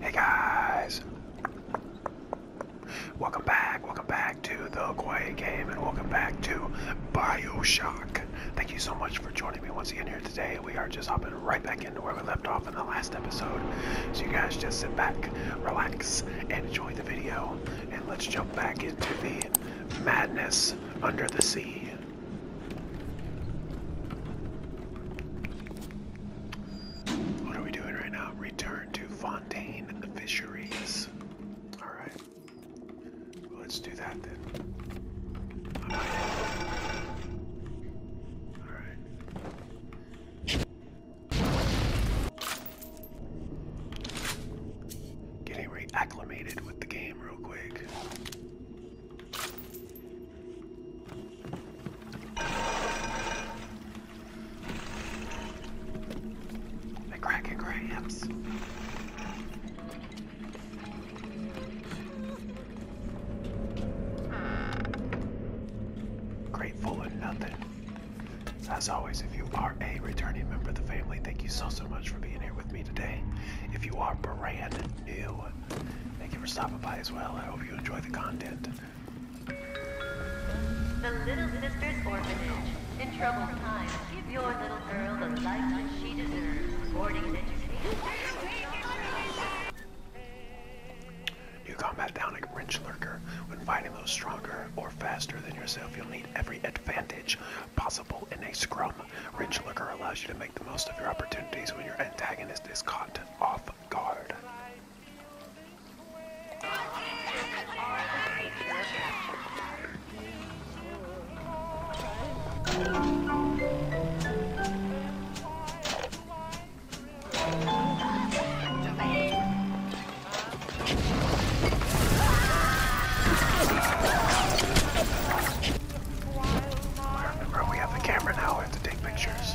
Hey guys, welcome back, welcome back to the Quiet Game, and welcome back to Bioshock. Thank you so much for joining me once again here today. We are just hopping right back into where we left off in the last episode. So you guys just sit back, relax, and enjoy the video. And let's jump back into the madness under the sea. What are we doing right now? Return to Fontaine and the Fisheries. Alright. let's do that then. Alright. Getting reacclimated with the game real quick. The Cracker Grams. Grateful for nothing. As always, if you are a returning member of the family, thank you so, so much for being here with me today. If you are brand new, Thank you for stopping by as well. I hope you enjoy the content. The Little Sisters Orphanage. In troubled times, give your little girl the life that she deserves. Boarding and education. You combat down a wrench lurker. When fighting those stronger or faster than yourself, you'll need every advantage possible in a scrum. Wrench lurker allows you to make the most of your opportunities when your antagonist is caught off guard. we have the camera now. We have to take pictures.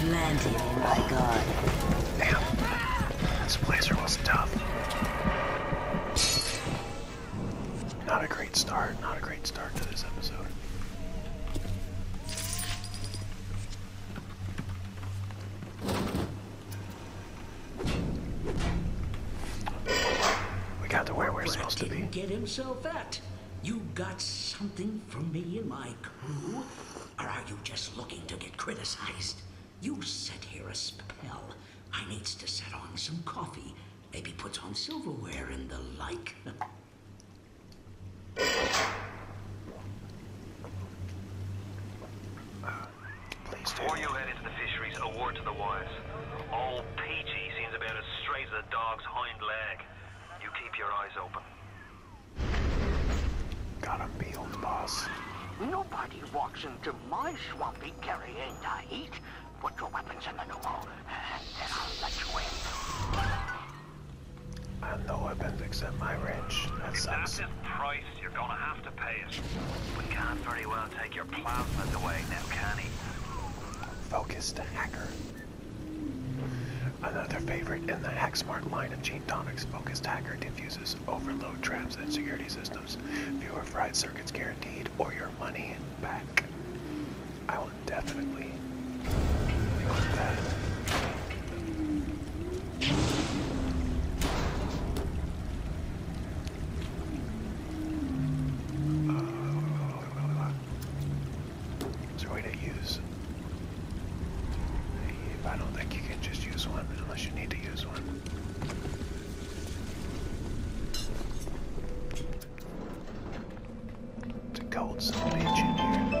planted in my god. Damn. This blazer was tough. Not a great start, not a great start to this episode. We got to where we're supposed to be. Get himself at. You got something from me and my crew? Or are you just looking to get criticized? You set here a spell. I needs to set on some coffee. Maybe put on silverware and the like. Before you head into the fisheries, a word to the wise. Old Peachy seems about as straight as a dog's hind leg. You keep your eyes open. Got to be on the boss. Nobody walks into my swampy carrying the heat. Put your weapons in the Numo, and then I'll let you in. I have no weapons except my wrench. That sucks. That's the price you're gonna have to pay it. We can't very well take your plasmas away now, can we? Focused hacker. Another favorite in the HackSmart line of gene tonics focused hacker diffuses overload traps and security systems. Fewer fried circuits guaranteed, or your money back. I will definitely Sorry to use. I don't think you can just use one unless you need to use one. It's a cold son of in here.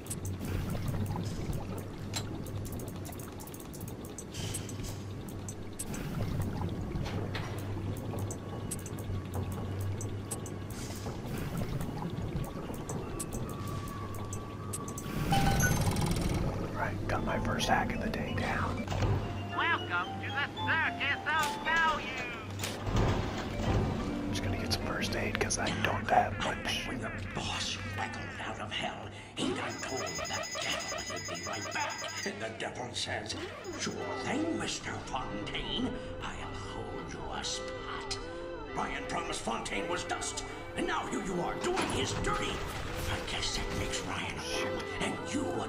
Right, got my first hack of the day down. Welcome to the circus of value. I'm just gonna get some first aid because I don't have much. boss out of hell. Ain't I told the devil he'd be right back? And the devil says, Sure thing, Mr. Fontaine. I'll hold you a spot. Ryan promised Fontaine was dust, and now here you are doing his dirty. I guess that makes Ryan and you a...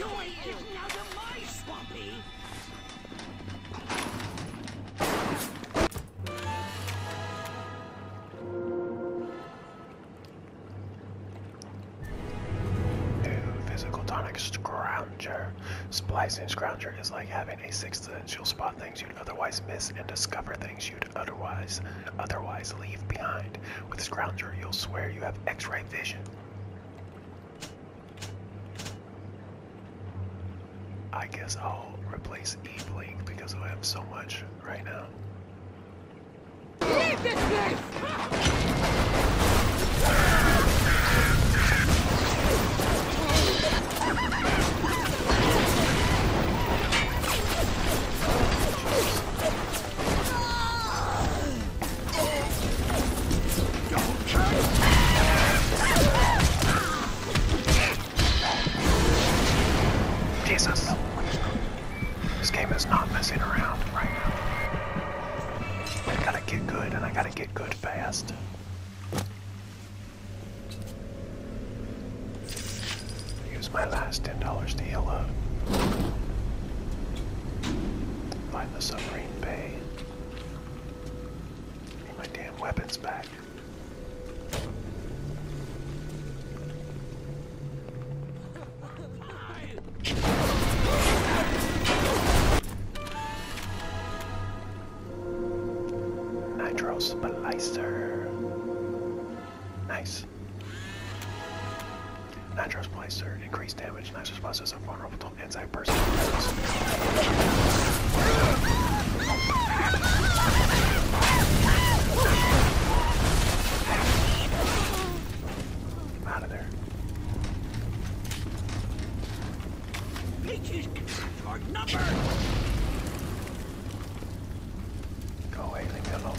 out of my Splicing Scrounger is like having a sixth sense. You'll spot things you'd otherwise miss and discover things you'd otherwise otherwise leave behind. With Scrounger, you'll swear you have X-ray vision. I guess I'll replace E Blink because I have so much right now. Jesus. This game is not messing around right now. I gotta get good, and I gotta get good fast. Use my last $10 to heal Find the submarine bay. Get my damn weapons back. Nitro Nice response. Nitro's Blaster, increased damage. Nitro's response is vulnerable to inside person. Out of there. Peaches are numbered! Go away, leave me alone.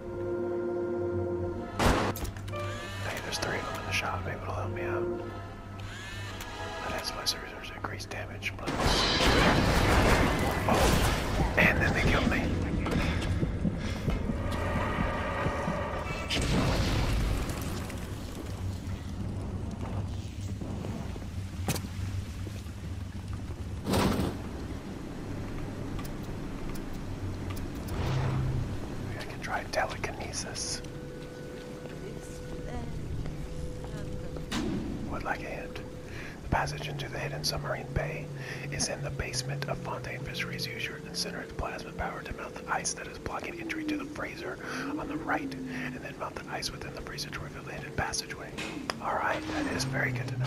one. Hey, there's three of them in the shop able to help me out. That adds my services increased damage. But... Oh, and then they killed me. I can try telekinesis. Would like a hint. The passage into the hidden submarine bay is in the basement of Fontaine Fisheries. Use your of plasma power to melt the ice that is blocking entry to the freezer on the right, and then melt the ice within the freezer to reveal the hidden passageway. All right, that is very good to know,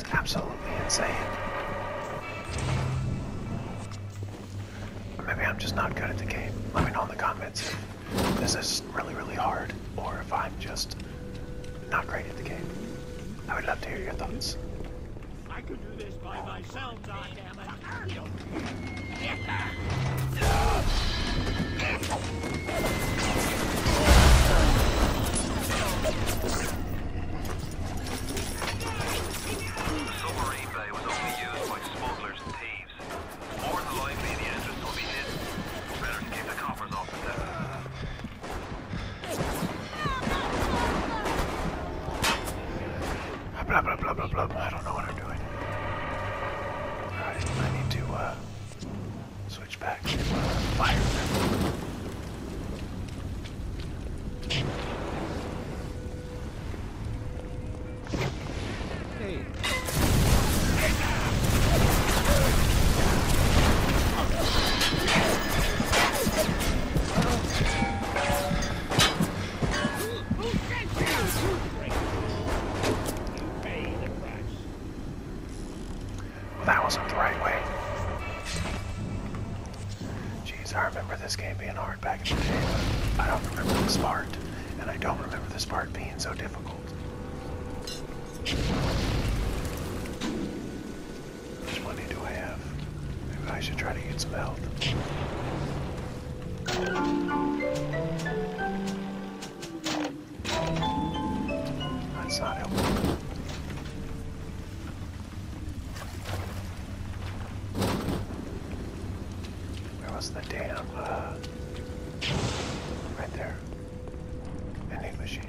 is absolutely insane. maybe I'm just not good at the game. Let me know in the comments if this really, really hard or if I'm just not great at the game. I would love to hear your thoughts. The Submarine bay was only used by smugglers and thieves. More than likely the entrance will be hidden. Better keep the coppers off the Blah blah blah blah blah. I don't know what I'm doing. Alright, I need to uh, switch back to uh, that wasn't the right way. Jeez, I remember this game being hard back in the day, but I don't remember this part, and I don't remember the part being so difficult. How much money do I have? Maybe I should try to get some health. That's not helpful. Where was the damn, uh, right there. Vending machine.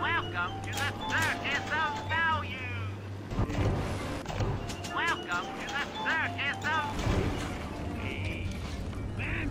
Welcome to the circus of value! Welcome to the circus of... Hey, man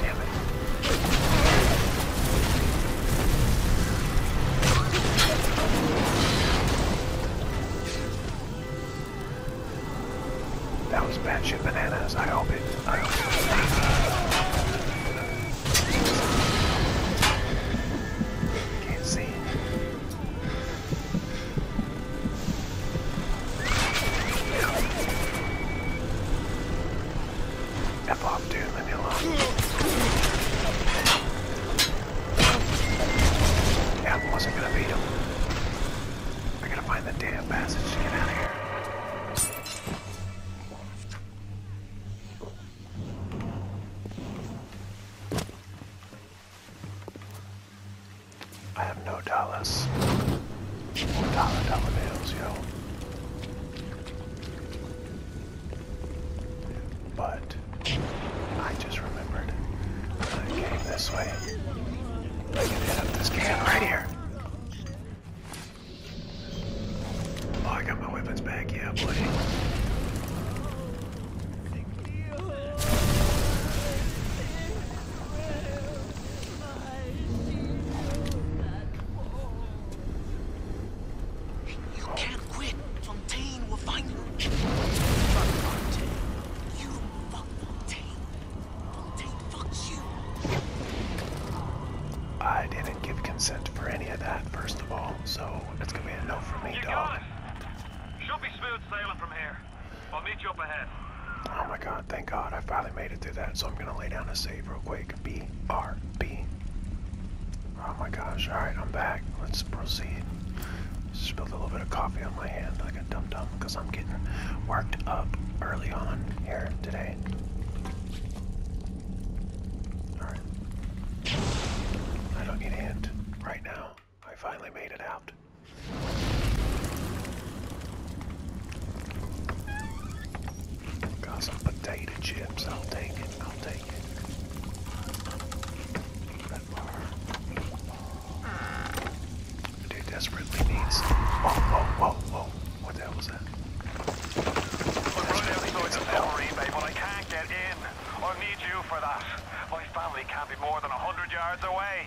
Damn it. That was bad shit bananas. I hope it. Can't see. F off, dude. Leave me alone. Yeah, wasn't gonna beat him. I gotta find the damn passage to get out of here. I have no dollars. Or dollar bills, yo. But I just remembered I came this way. I can hit up this can right here. Oh, I got my weapons back, yeah, buddy. You can't quit. Fontaine will find you. Fuck Fontaine. You fuck Fontaine. Fontaine fucks you. I didn't give consent for any of that, first of all, so it's gonna be a no for me, you dog. Should be smooth sailing from here. I'll meet you up ahead. Oh my god, thank god, I finally made it through that, so I'm gonna lay down a save real quick. BRB. Oh my gosh. Alright, I'm back. Let's proceed. Spilled a little bit of coffee on my hand like a dum dum because I'm getting worked up early on here today. Alright. I don't need a hint right now. I finally made it out. Got some potato chips. I'll take it. I'll take it. Red desperately need Whoa, whoa, whoa, whoa. What the hell was that? i need you for that. My family can't be more than a hundred yards away.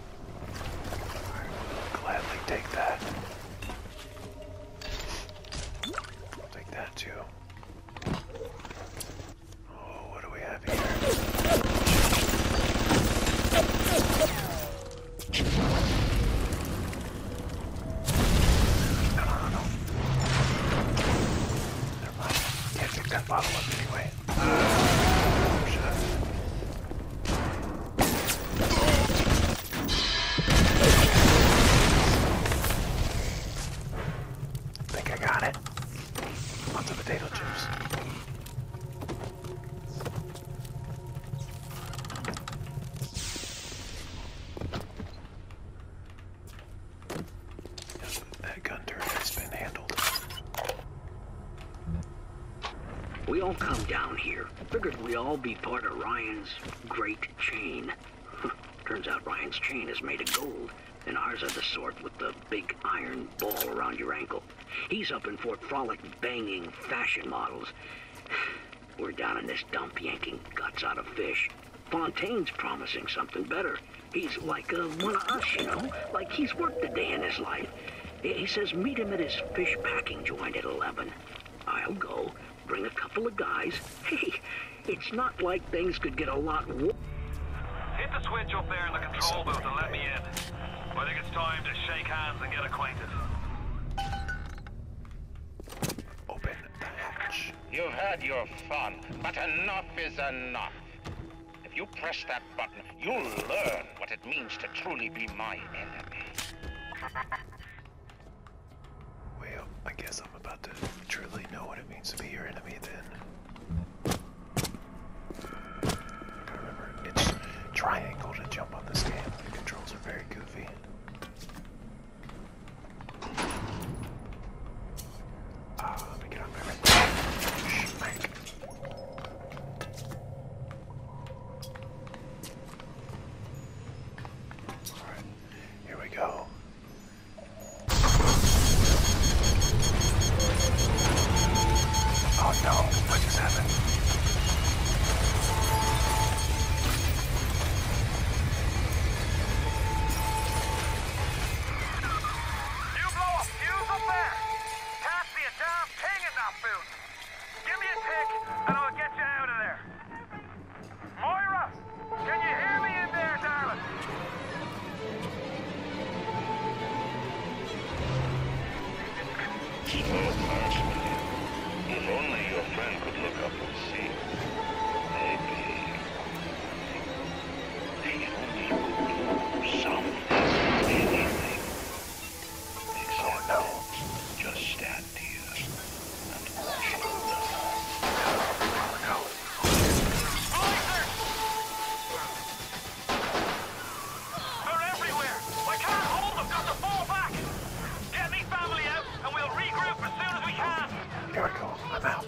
damage. I will gladly take that. I'll take that too. Oh, what do we have here? No, no, no, no. Never mind. Can't pick that bottle up anyway. Uh, oh, should I? I think I got it. Lots of potato chips. that gun has been handled. We all come down here figured we would all be part of Ryan's great chain. Turns out Ryan's chain is made of gold, and ours are the sort with the big iron ball around your ankle. He's up in Fort Frolic banging fashion models. We're down in this dump yanking guts out of fish. Fontaine's promising something better. He's like one of us, you know? Like he's worked a day in his life. He says meet him at his fish packing joint at 11. I'll go, bring a couple of guys. Hey, it's not like things could get a lot worse. Hit the switch up there in the control booth and let me in. I think it's time to shake hands and get acquainted. Open the hatch. You've had your fun, but enough is enough. If you press that button, you'll learn what it means to truly be my enemy. well, I guess I'm about to truly know what it means to be your enemy then. remember, it's triangle to jump on this game. The controls are very goofy. Ah, let me get on my here we go. Oh no, what just happened? You blow a fuse up there! Pass the damn king in that boot! Give me a tick, and I'll get you out of there. Moira, can you hear me in there, darling? Keep our marksman. If only your friend could look up and Maybe they only could do something. Anything. Except oh, no. just stand ideas and worship them. No. They're everywhere! I can't hold them, got to fall back! Get me family out and we'll regroup as soon as we can! Here I go, I'm out.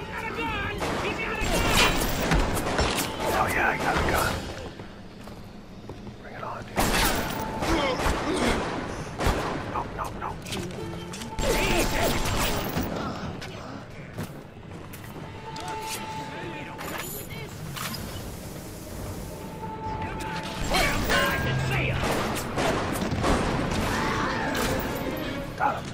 Oh yeah, I got a gun. Bring it on, dude. No, oh, no, no. Got him.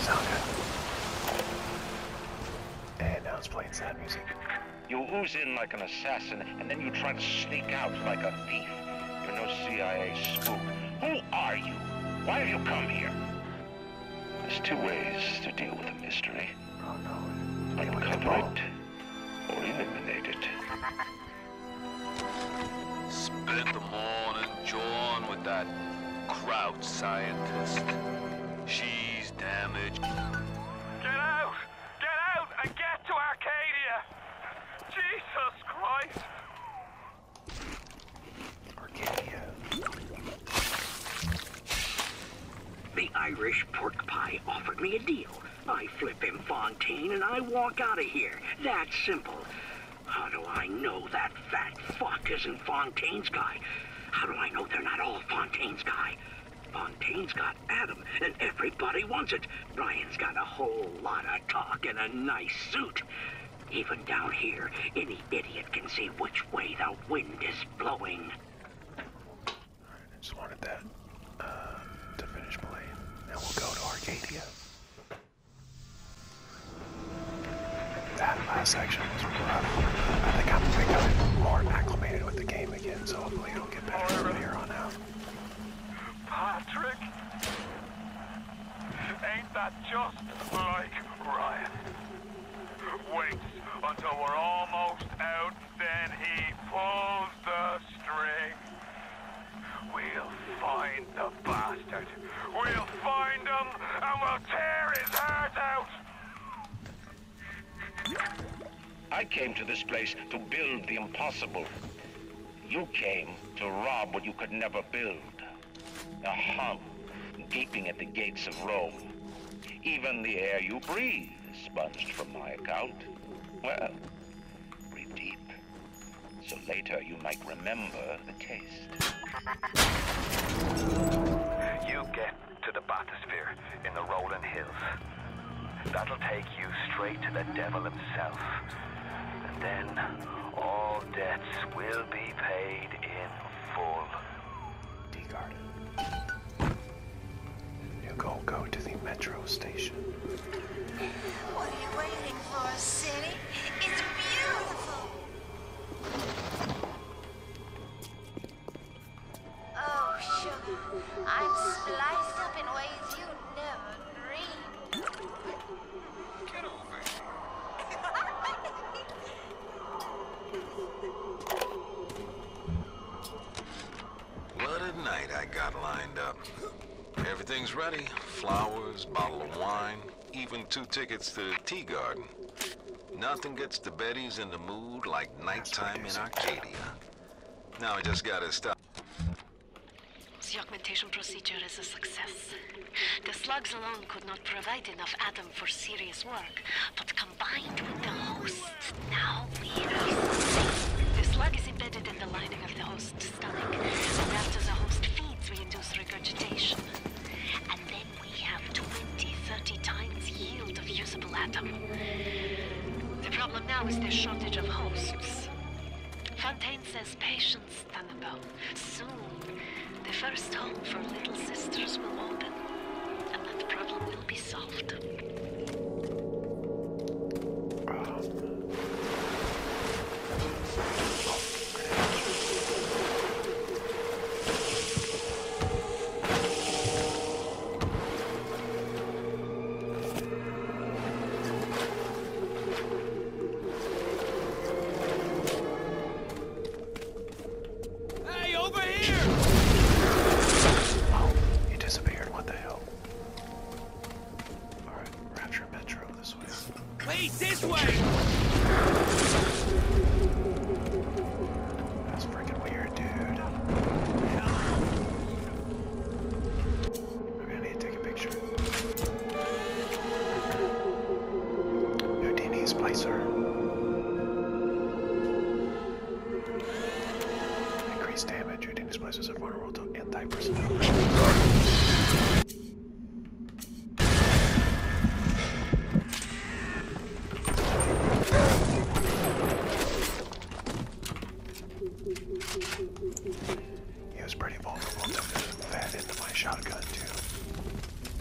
sound And now it's playing music. You ooze in like an assassin, and then you try to sneak out like a thief. You're no CIA spook. Who are you? Why have you come here? There's two ways to deal with a mystery. Oh, no. Can we cover or eliminate it? Spent the morning jawing with that crowd scientist. She's damaged. Get out! Get out and get to Arcadia! Jesus Christ! Arcadia. The Irish pork pie offered me a deal. I flip him Fontaine and I walk out of here. That's simple. How do I know that fat fuck isn't Fontaine's guy? How do I know they're not all Fontaine's guy? Fontaine's got Adam, and everybody wants it. Brian's got a whole lot of talk and a nice suit. Even down here, any idiot can see which way the wind is blowing. I just wanted that uh, to finish playing. Now we'll go to Arcadia. That last section was rough. I think I'm becoming more acclimated with the game again, so hopefully it'll get better from here on out. Patrick! Ain't that just like Ryan? Waits until we're almost out, then he pulls the string. We'll find the bastard. We'll find him, and we'll tear his heart out! I came to this place to build the impossible. You came to rob what you could never build. The hub gaping at the gates of Rome. Even the air you breathe is sponged from my account. Well, breathe deep, so later you might remember the taste. You get to the bathysphere in the rolling hills. That'll take you straight to the devil himself. And then all debts will be paid in full. Tea Garden. You go to the metro station. What are you waiting for, City? It's beautiful. Oh, sugar, I'm spliced up in ways you never dreamed. Get over here. What a night I got lined up. Everything's ready. Flowers, bottle of wine, even two tickets to the tea garden. Nothing gets the Betties in the mood like night time in Arcadia. Now I just gotta stop. The augmentation procedure is a success. The slugs alone could not provide enough atom for serious work, but combined with the host, now we are safe. The slug is embedded in the lining of the host's stomach, and after the host feeds, we induce regurgitation. And then we have 20, 30 times yield of usable atom. The problem now is the shortage of hosts. Fontaine says patience, Tannenbaum. Soon, the first home for little sisters will open. And that problem will be solved. Um. Hey, over here! Oh, he disappeared. What the hell? Alright, Rapture Metro this way. Wait, this way! That's freaking weird, dude. We're gonna need to take a picture. Houdini Spicer. Increased damage, reading displaces are vulnerable to anti-personnel. He was pretty vulnerable to that into my shotgun too.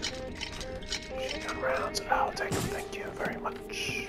Shotgun rounds. I'll take Thank you very much.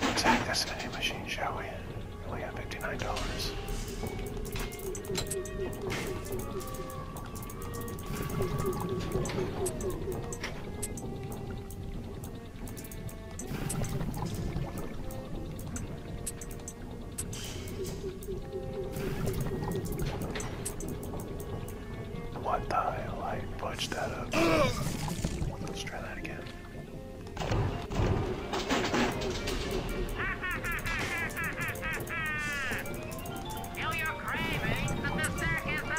Attack this vending machine, shall we? We only got fifty-nine dollars. What the hell? I butched that up. Let's try that again. Feel your cravings eh? the circus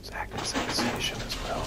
It's active sensation as well.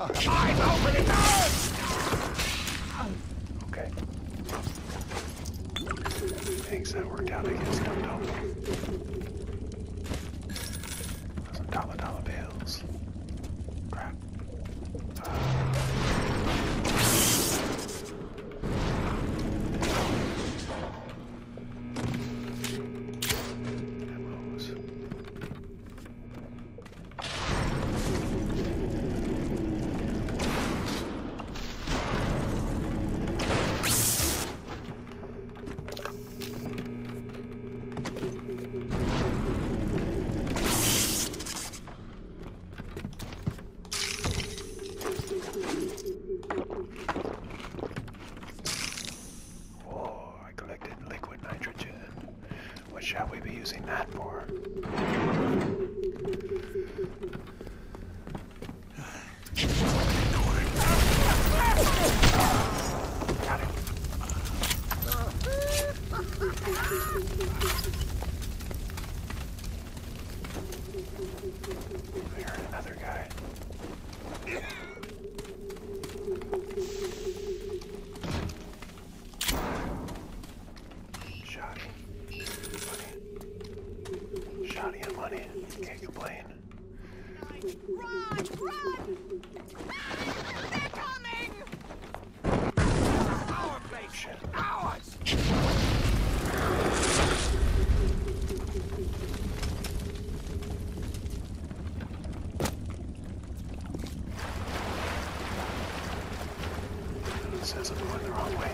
Eyes open, it's on! Okay. Thanks, that worked out against Dum Dum. Some dollar dollar bills. Crap. Uh, that rose. Oh, I collected liquid nitrogen. What shall we be using that for? Got heard another guy. Shoddy. Money. Shoddy and money. Can't complain. Run! Run! They're coming! Our place! Shit. Ours! It says I'm going the wrong way.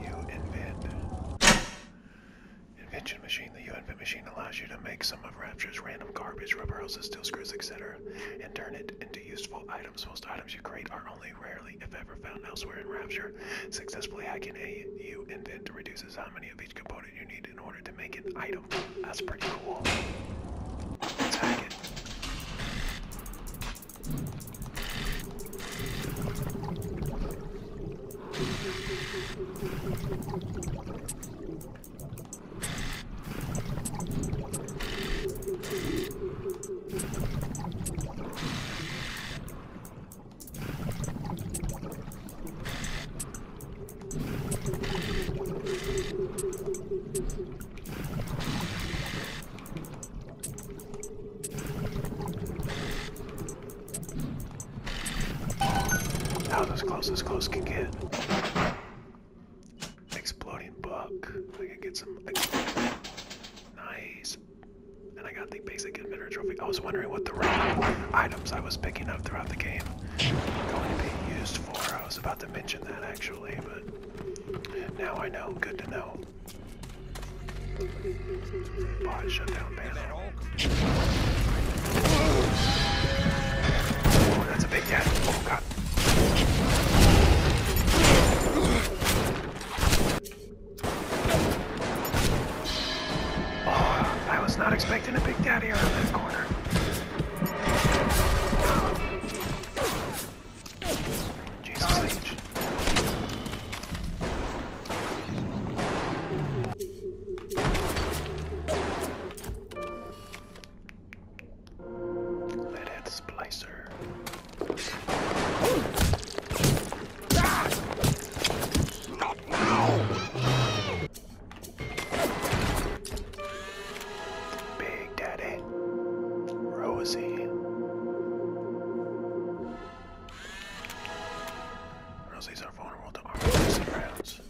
You invent. Invention machine. The U invent machine allows you to make some of Rapture's random garbage, rubber houses, steel screws, etc., and turn it into useful items items. Most items you create are only rarely, if ever, found elsewhere in Rapture. Successfully hacking a U invent reduces how many of each component you need in order to make an item. That's pretty cool. let it. That was as close as close can get exploding book. I can get some. Nice. And I got the basic inventor trophy. I was wondering what the random items I was picking up throughout the game going to be used for. I was about to mention that actually, but now I know. Good to know. Bot shutdown panel. Oh, that's a big cat. Oh, Oh, I was not expecting a big daddy around that corner. Jesus H. Let it splicer. Not now. Big Daddy. Rosie. Rosies are vulnerable to armor piercing rounds.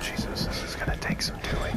Jesus, this is gonna take some doing.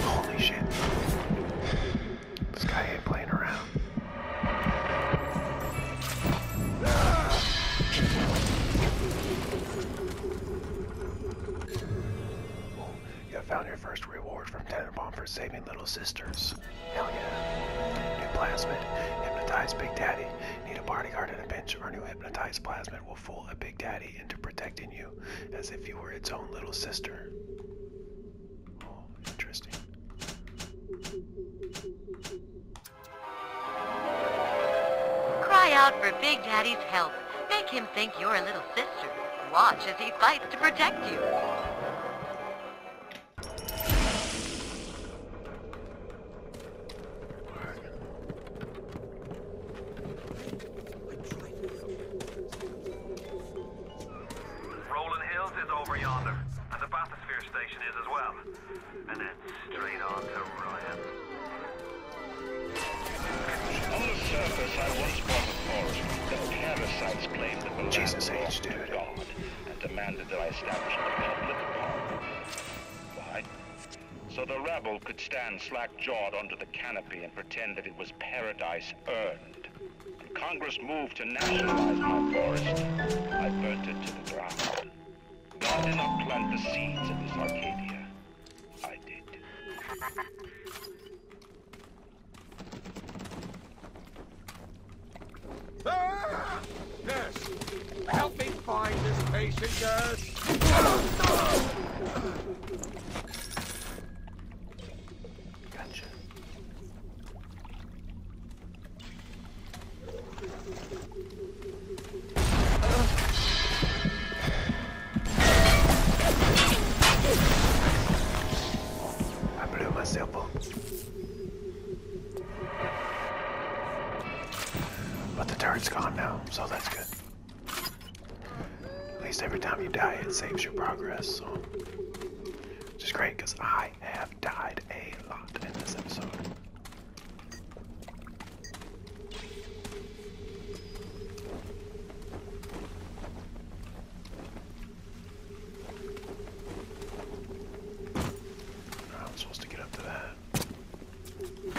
Holy shit. This guy ain't playing around. You have found your first reward from Tenenbaum for saving little sisters. Hell yeah. New plasmid. hypnotized Big Daddy. Need a bodyguard and a bench. Our new hypnotized plasmid will fool a Big Daddy into protecting you as if you were its own little sister. Oh, interesting. Cry out for Big Daddy's help. Make him think you're a little sister. Watch as he fights to protect you. station is as well. And then straight on to Ryan. On the surface, I once bought a forest parasites claimed that Jesus land belonged God and demanded that I establish a public park. Why? So the rabble could stand slack-jawed under the canopy and pretend that it was paradise earned. And Congress moved to nationalize my forest. I burnt it to the ground. God did not plant the seeds of this Arcadia. I did. help me find this patient, nurse! Gotcha. I blew myself up. But the turret's gone now, so that's good. At least every time you die, it saves your progress, so. Which is great, because I have died a lot in this episode. I'm supposed to get up to that. And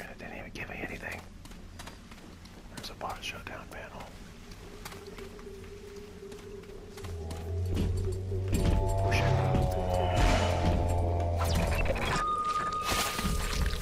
it didn't even give me anything. There's a bot shutdown panel. Oh,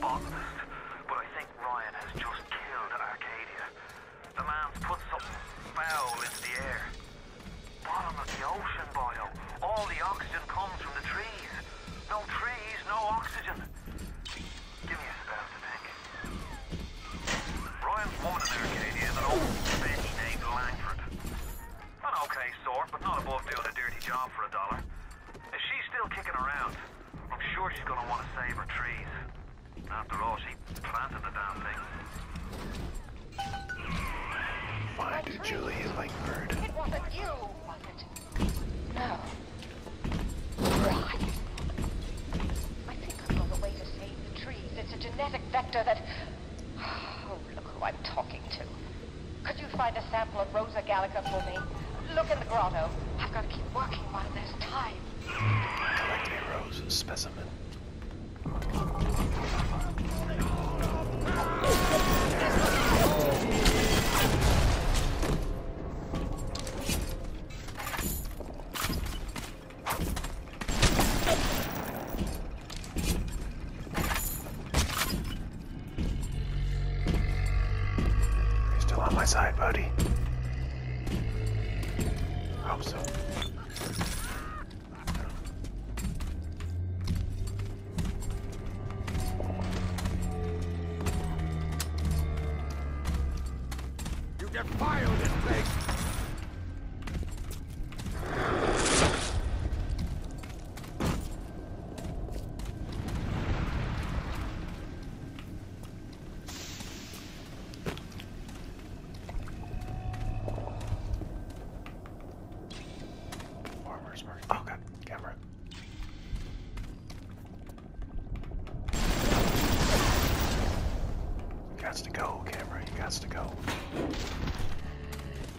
but I think Ryan has just killed Arcadia. The man's put something foul into the air. Bottom of the ocean biome. All the oxygen comes from the trees. No trees, no oxygen. Give me a spell to think. Ryan's woman Arcadia is an old bitch named Langford. An okay sort, but not above doing a dirty job for a dollar. Is she still kicking around, I'm sure she's gonna want to save her trees. After all, she planted the damn thing. Why did you It wasn't you, was it? No. Right. I think I know the way to save the trees. It's a genetic vector that... Oh, look who I'm talking to. Could you find a sample of Rosa Gallica for me? Look in the grotto. I've got to keep working while there's time. Collect Likely Rosa specimen. You're still on my side, buddy. hope so. You defile this place! Farmers market. Oh god, camera. You got to go, camera. You got to go.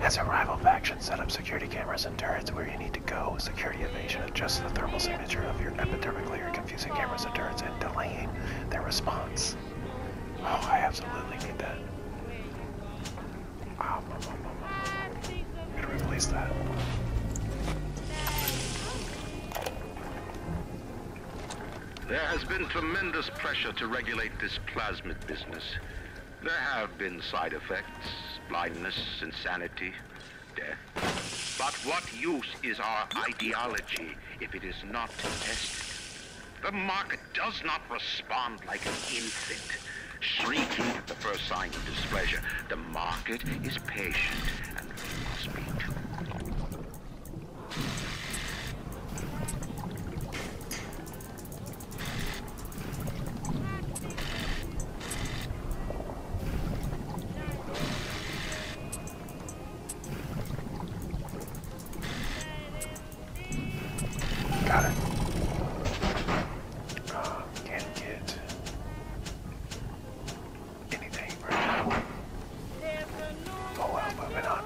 As a rival faction, set up security cameras and turrets where you need to go. Security evasion adjusts the thermal signature of your epidermic layer, confusing cameras and turrets and delaying their response. Oh, I absolutely need that. I'm gonna replace that. There has been tremendous pressure to regulate this plasmid business. There have been side effects, blindness, insanity, death. But what use is our ideology if it is not tested? The market does not respond like an infant, shrieking at the first sign of displeasure. The market is patient, and we must be too. Got it. Oh, can't get anything right now. Oh well, moving on.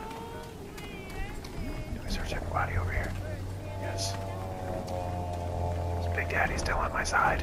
Can we search everybody over here? Yes. Is Big Daddy still on my side?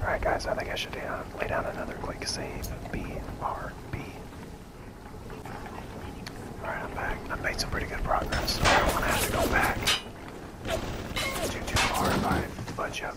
Alright guys, I think I should uh, lay down another quick save. BRB. Alright, I'm back. I made some pretty good progress. I don't want to have to go back. Too, too far if I budge up.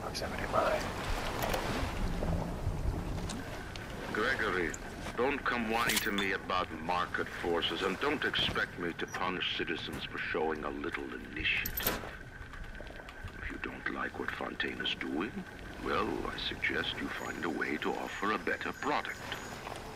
Proximity mine. Gregory, don't come whining to me about market forces, and don't expect me to punish citizens for showing a little initiative. If you don't like what Fontaine is doing, well, I suggest you find a way to offer a better product.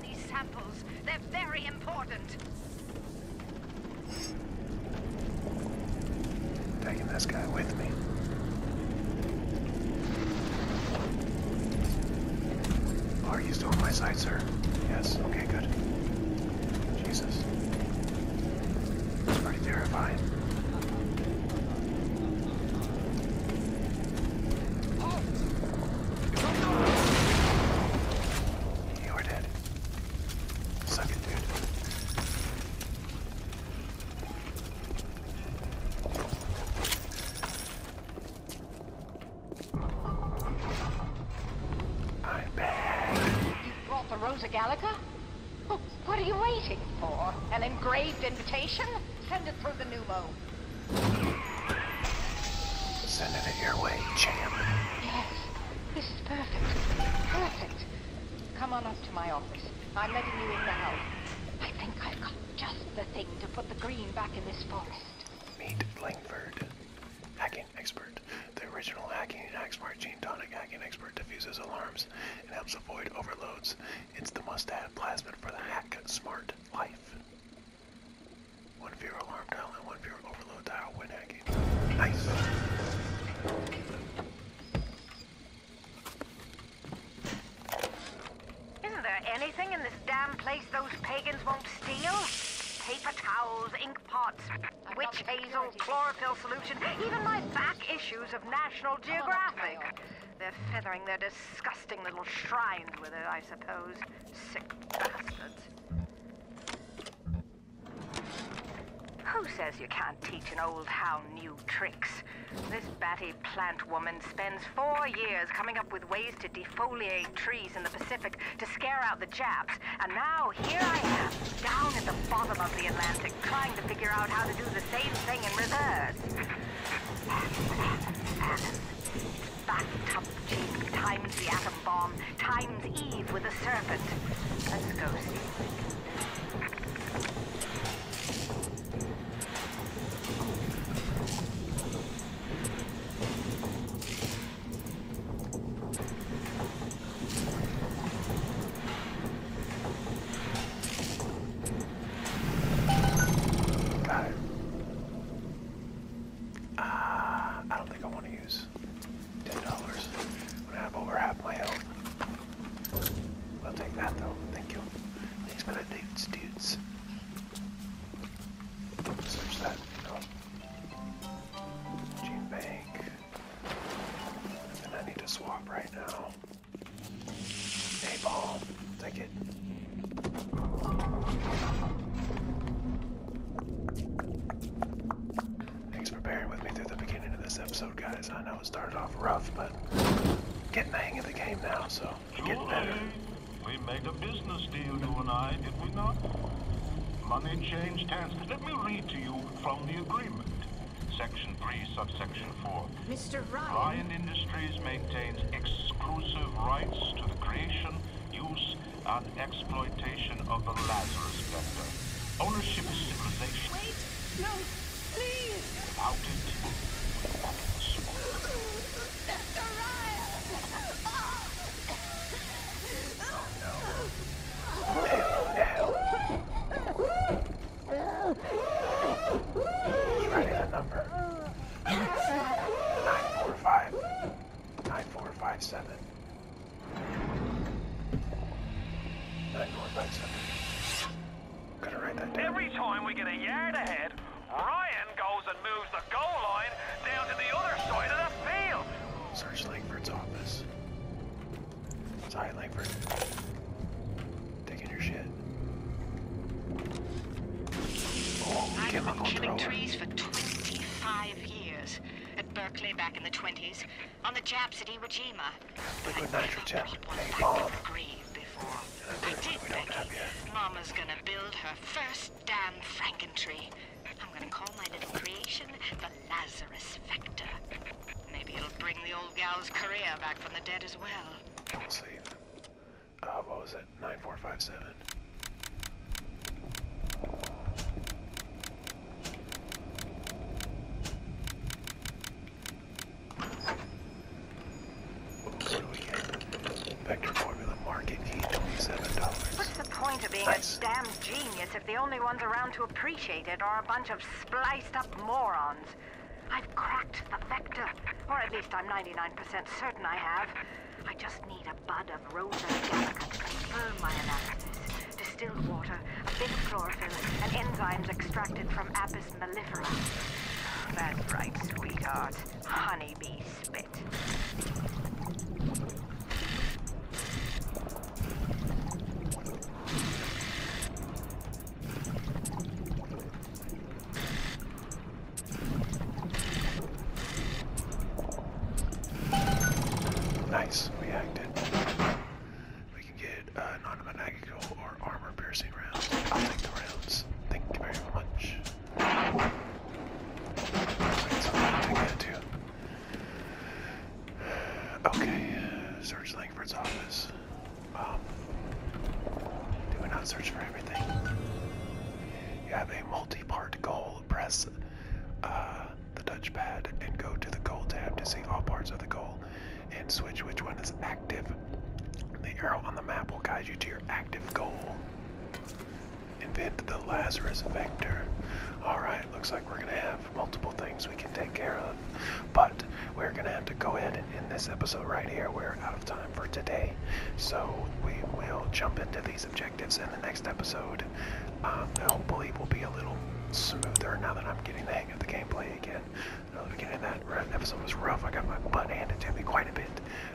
these samples. They're very important. Taking this guy with me. Are you still on my side, sir? Yes, okay, good. Jesus. It's pretty terrifying. You are dead. Suck it, dude. I'm bad. You brought the Rosa Gallica? What are you waiting for? An engraved invitation? Send it through the new mode. Send it your way, champ. Yes. This is perfect. Perfect. Come on up to my office. I'm letting you in now. I think I've got just the thing to put the green back in this forest. Meet Langford. Hacking expert. The original hacking and Hacksmart gene tonic hacking expert defuses alarms and helps avoid overloads. It's the must-have plasmid for the hack smart life. One viewer alarm dial and one viewer overload dial when Nice. Isn't there anything in this damn place those pagans won't steal? Paper towels, ink pots, witch hazel, chlorophyll solution, even my back issues of National Geographic. They're feathering their disgusting little shrines with it, I suppose sick bastards. Who says you can't teach an old hound new tricks? This batty plant woman spends four years coming up with ways to defoliate trees in the Pacific to scare out the Japs, and now here I am, down at the bottom of the Atlantic, trying to figure out how to do the same thing in reverse backed up Jeep times the atom bomb times Eve with a serpent. Let's go see. Uh, I don't think I want to use ten dollars when I have over half my health. I'll take that though. Thank you. Thanks for that, dudes. Dudes. Search that. Gene Bank. And I need to swap right now. A ball. Thank you, Thanks for bearing with me through the beginning of this episode, guys. I know it started off rough, but getting the hang of the game now, so i getting better. We made a business deal, you and I, did we not? Money changed hands. Let me read to you from the agreement. Section 3, subsection 4. Mr. Ryan. Ryan Industries maintains exclusive rights to the creation use and exploitation of the Lazarus Vector. Ownership of civilization. Wait! No! Please! Without it, Oh, no. Oh, no. He's running a number. 945. Gotta write that Every time we get a yard ahead, Ryan goes and moves the goal line down to the other side of the field. Search Langford's office. Sorry, Langford. Taking your shit. I've been killing trees for 25 years. At Berkeley back in the 20s, on the Japs at Iwo Jima. Liquid nitrogen, napalm. I did, Becky. Mama's gonna build her first damn franken tree. I'm gonna call my little creation the Lazarus Vector. Maybe it'll bring the old gal's career back from the dead as well what was it? 9457. What do we get? Vector formula market key, $27. What's the point of being a damn genius if the only ones around to appreciate it are a bunch of spliced up morons? I've cracked the vector, or at least I'm 99% certain I have. I just need a bud of Rosa gallica to confirm my analysis. Distilled water, a bit of chlorophyll, and enzymes extracted from Apis mellifera. That's right, sweetheart. Honeybee spit. Nice, we acted. We can get an uh, non or armor-piercing round. I'll take the rounds. Thank you very much. Wait, so I'll too. Okay, search Langford's office. Um, do we not search for everything? You have a multi part goal, press uh, the touchpad and go to the goal tab to see all parts of the goal and switch which one is active. The arrow on the map will guide you to your active goal. Invent the Lazarus Vector. Alright, looks like we're going to have multiple things we can take care of. But we're going to have to go ahead and end this episode right here. We're out of time for today. So we will jump into these objectives in the next episode. Um, hopefully will be a little smoother now that I'm getting the hang of the gameplay again. beginning that episode was rough. I got my butt handed to me quite a bit.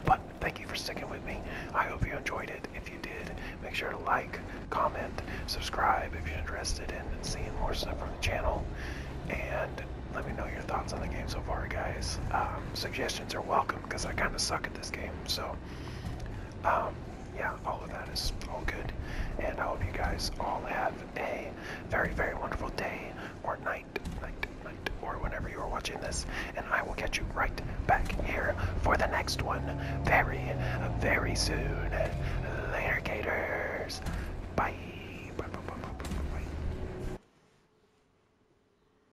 But thank you for sticking with me. I hope you enjoyed it. If you did, make sure to like, comment, subscribe if you're interested in seeing more stuff from the channel. And let me know your thoughts on the game so far, guys. Um, suggestions are welcome because I kind of suck at this game. So, um, yeah, all of that is all good. And I hope you guys all have a very, very wonderful day or night, night, night, or whenever you are watching this. And I will catch you right back here for the next one very, very soon. Later, Gators. bye.